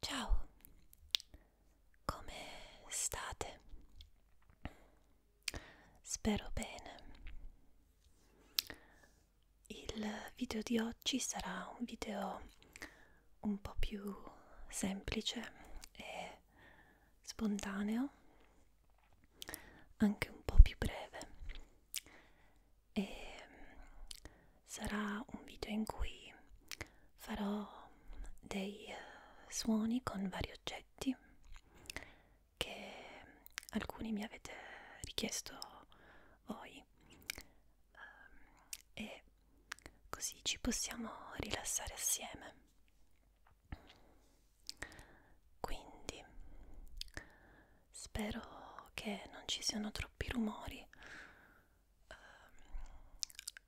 Ciao, come state? Spero bene. Il video di oggi sarà un video un po' più semplice e spontaneo, anche un po' più breve. E sarà un video in cui farò dei uh, suoni con vari oggetti che alcuni mi avete richiesto voi um, e così ci possiamo rilassare assieme quindi spero che non ci siano troppi rumori Ehm,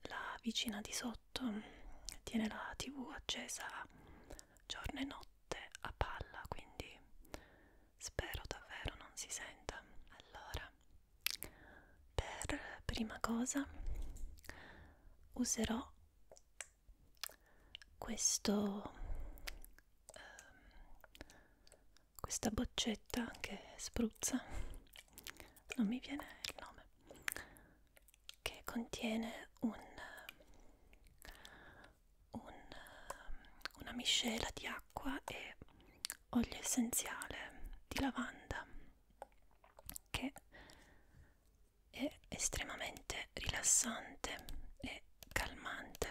la vicina di sotto tiene la tv accesa giorno e notte a palla quindi spero davvero non si senta allora per prima cosa userò questo um, questa boccetta che spruzza non mi viene il nome che contiene un, un, una miscela di acqua e olio essenziale di lavanda che è estremamente rilassante e calmante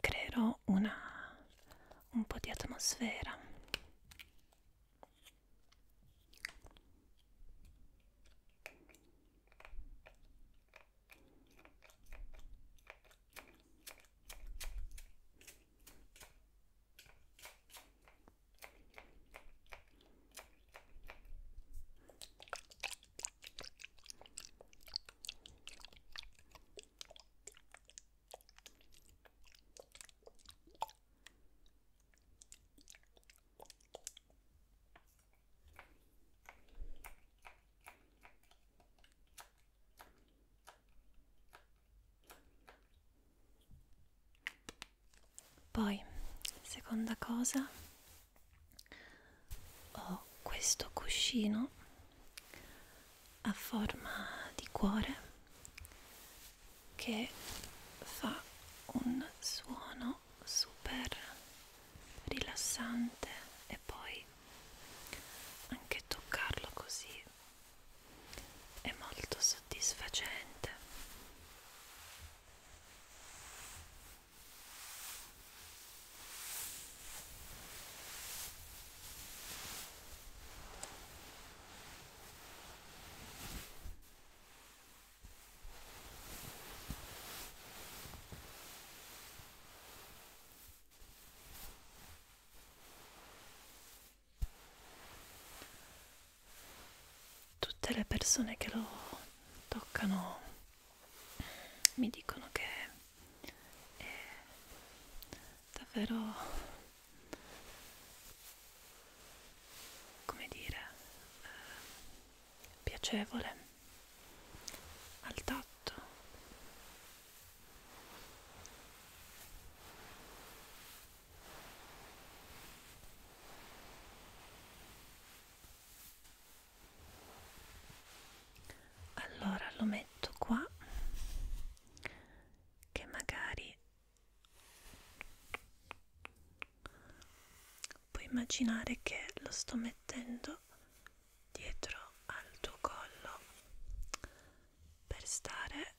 creerò una, un po' di atmosfera poi, seconda cosa, ho questo cuscino a forma di cuore che fa un suono super rilassante e poi anche toccarlo così è molto soddisfacente Tutte le persone che lo toccano mi dicono che è davvero come dire eh, piacevole al tatto allora lo metto qua che magari puoi immaginare che lo sto mettendo dietro al tuo collo per stare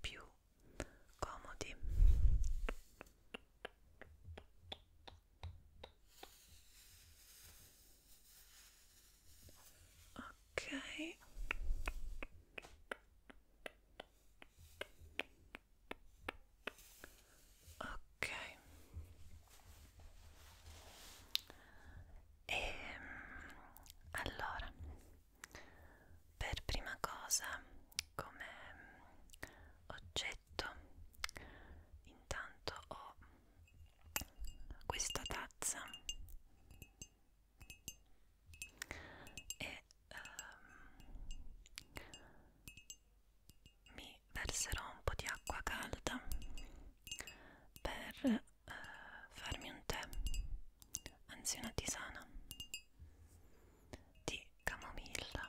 più comodi ok ok e ehm, allora per prima cosa come oggetto intanto ho questa tazza e um, mi verserò un po' di acqua calda per uh, farmi un tè, anzi una tisana di camomilla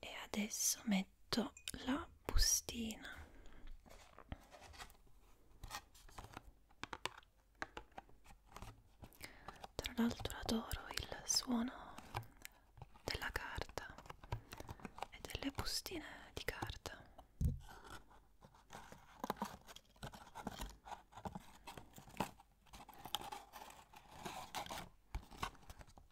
e adesso metto la bustina tra l'altro adoro il suono della carta e delle bustine di carta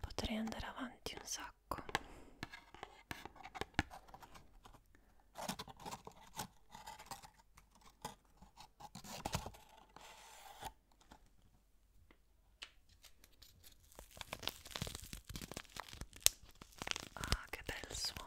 Potrei andare avanti un sacco. Ah, che bel suono.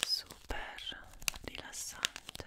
super rilassante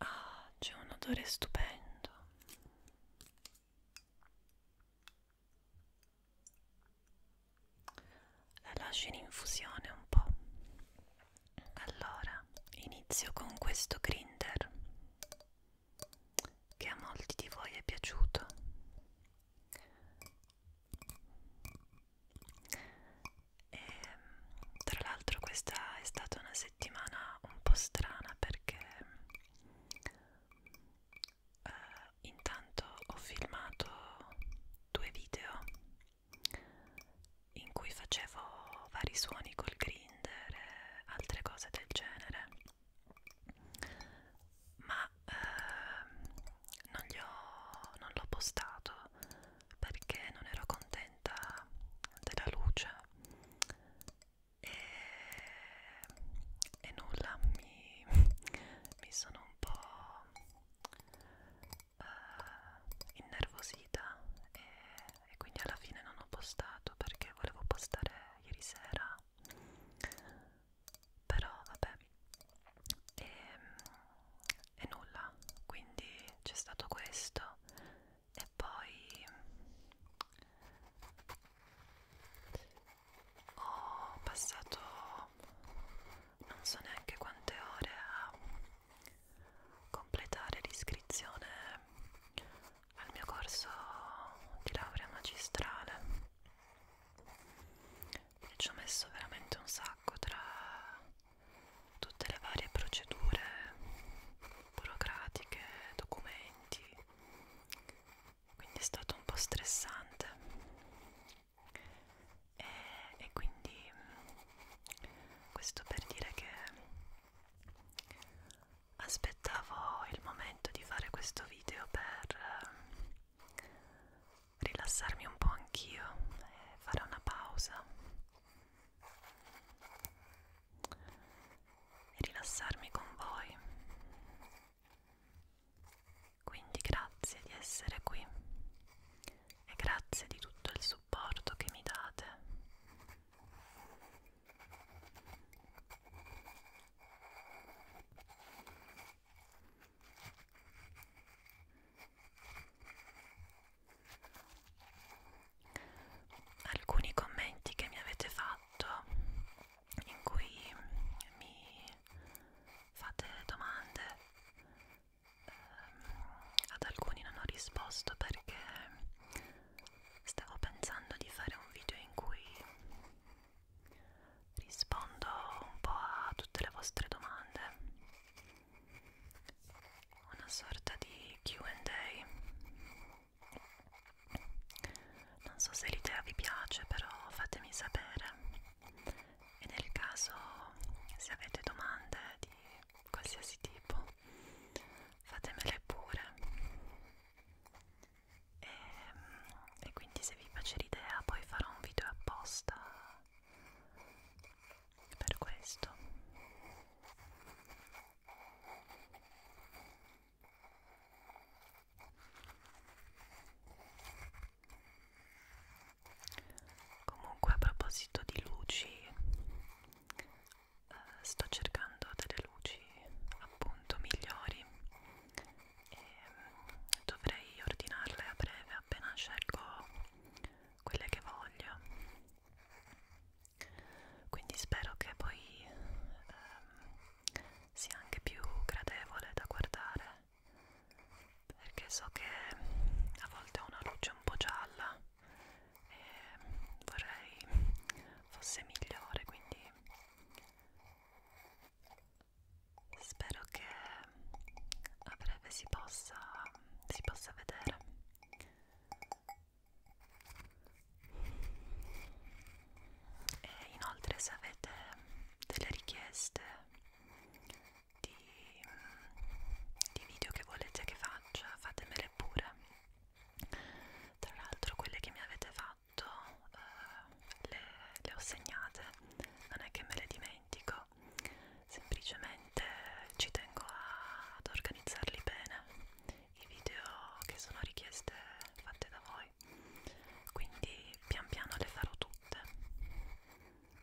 Ah, c'è un odore stupendo. La lascio in infusione un po'. Allora, inizio con questo grinder che a molti di voi è piaciuto. E, tra l'altro questa è stata una settimana un po' strana perché eh, intanto ho filmato due video in cui facevo vari suoni col grinder e altre cose del genere ma ehm, non l'ho postato perché non ero contenta della luce e, e nulla mi, mi sono un po' eh, innervosita e, e quindi alla fine non ho postato perché volevo postare ieri sera però vabbè e, ehm, e nulla quindi c'è stato questo e poi ho passato non so neanche quante ore a completare l'iscrizione al mio corso di laurea magistrale e ci ho messo veramente un sacco tra tutte le varie procedure burocratiche, documenti quindi è stato un po' stressante e, e quindi mm, questo per dire che aspettavo il momento di fare questo video per mm, rilassarmi un po' anch'io e fare una pausa e rilassarmi con voi quindi grazie di essere qui e grazie di tutto il supporto che mi date. Alcuni commenti che mi avete fatto in cui mi fate domande Ehm, ad alcuni non ho risposto perché stavo pensando di fare un video in cui rispondo un po' a tutte le vostre domande una sorta di Q&A non so se l'idea vi piace però fatemi sapere e nel caso se avete domande di qualsiasi tipo fatemele pure e, ehm, e quindi se vi piace l'idea poi farò un video apposta per questo comunque a proposito di luci eh, sto cercando delle luci appunto migliori e ehm, dovrei ordinarle a breve appena scelgo quelle che voglio quindi spero che poi ehm, sia anche più gradevole da guardare perché so che a volte ho una luce un po' gialla e vorrei fosse migliore quindi spero che a breve si possa si possa vedere e inoltre se avete delle richieste di, mm, di video che volete che faccia fatemele pure tra l'altro quelle che mi avete fatto eh, le, le ho segnate non è che me le dimentico semplicemente ci tengo a, ad organizzarli bene i video che sono richieste fatte da voi quindi pian piano le farò tutte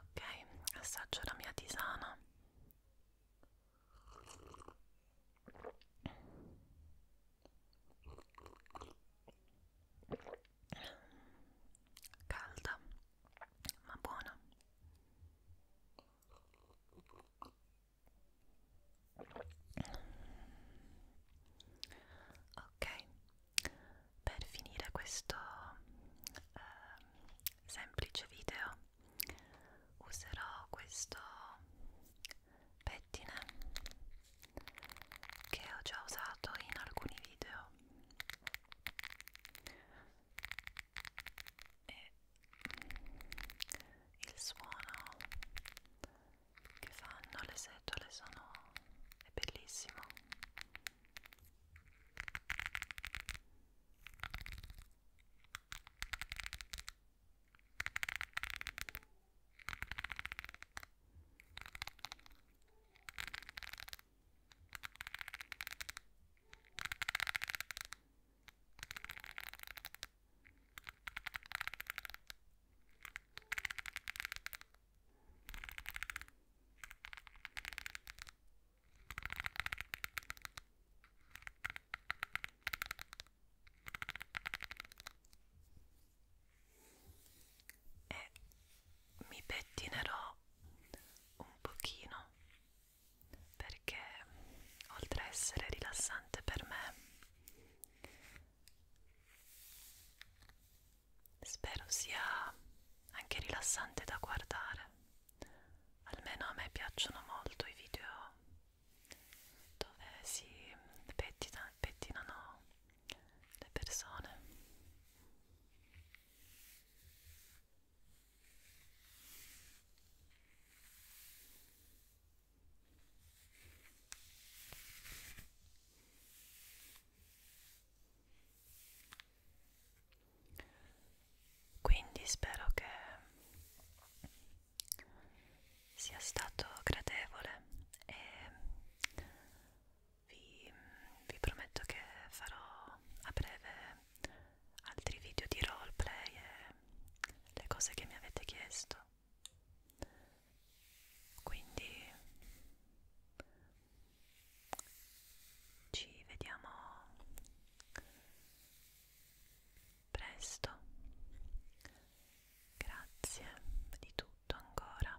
Ok, assaggio la mia tisana. Calda, ma buona. Ok, per finire questo eh, semplice video userò questo pettine che ho già usato in alcuni video e il suono che fanno le setole sono è bellissimo e mi pettinerò un pochino perché oltre a essere rilassante per me spero sia anche rilassante da guardare almeno a me piacciono molto i video dove si pettina, pettinano le persone quindi spero che sia stato gradevole e vi, vi prometto che farò a breve altri video di roleplay e le cose che mi avete chiesto quindi ci vediamo presto grazie di tutto ancora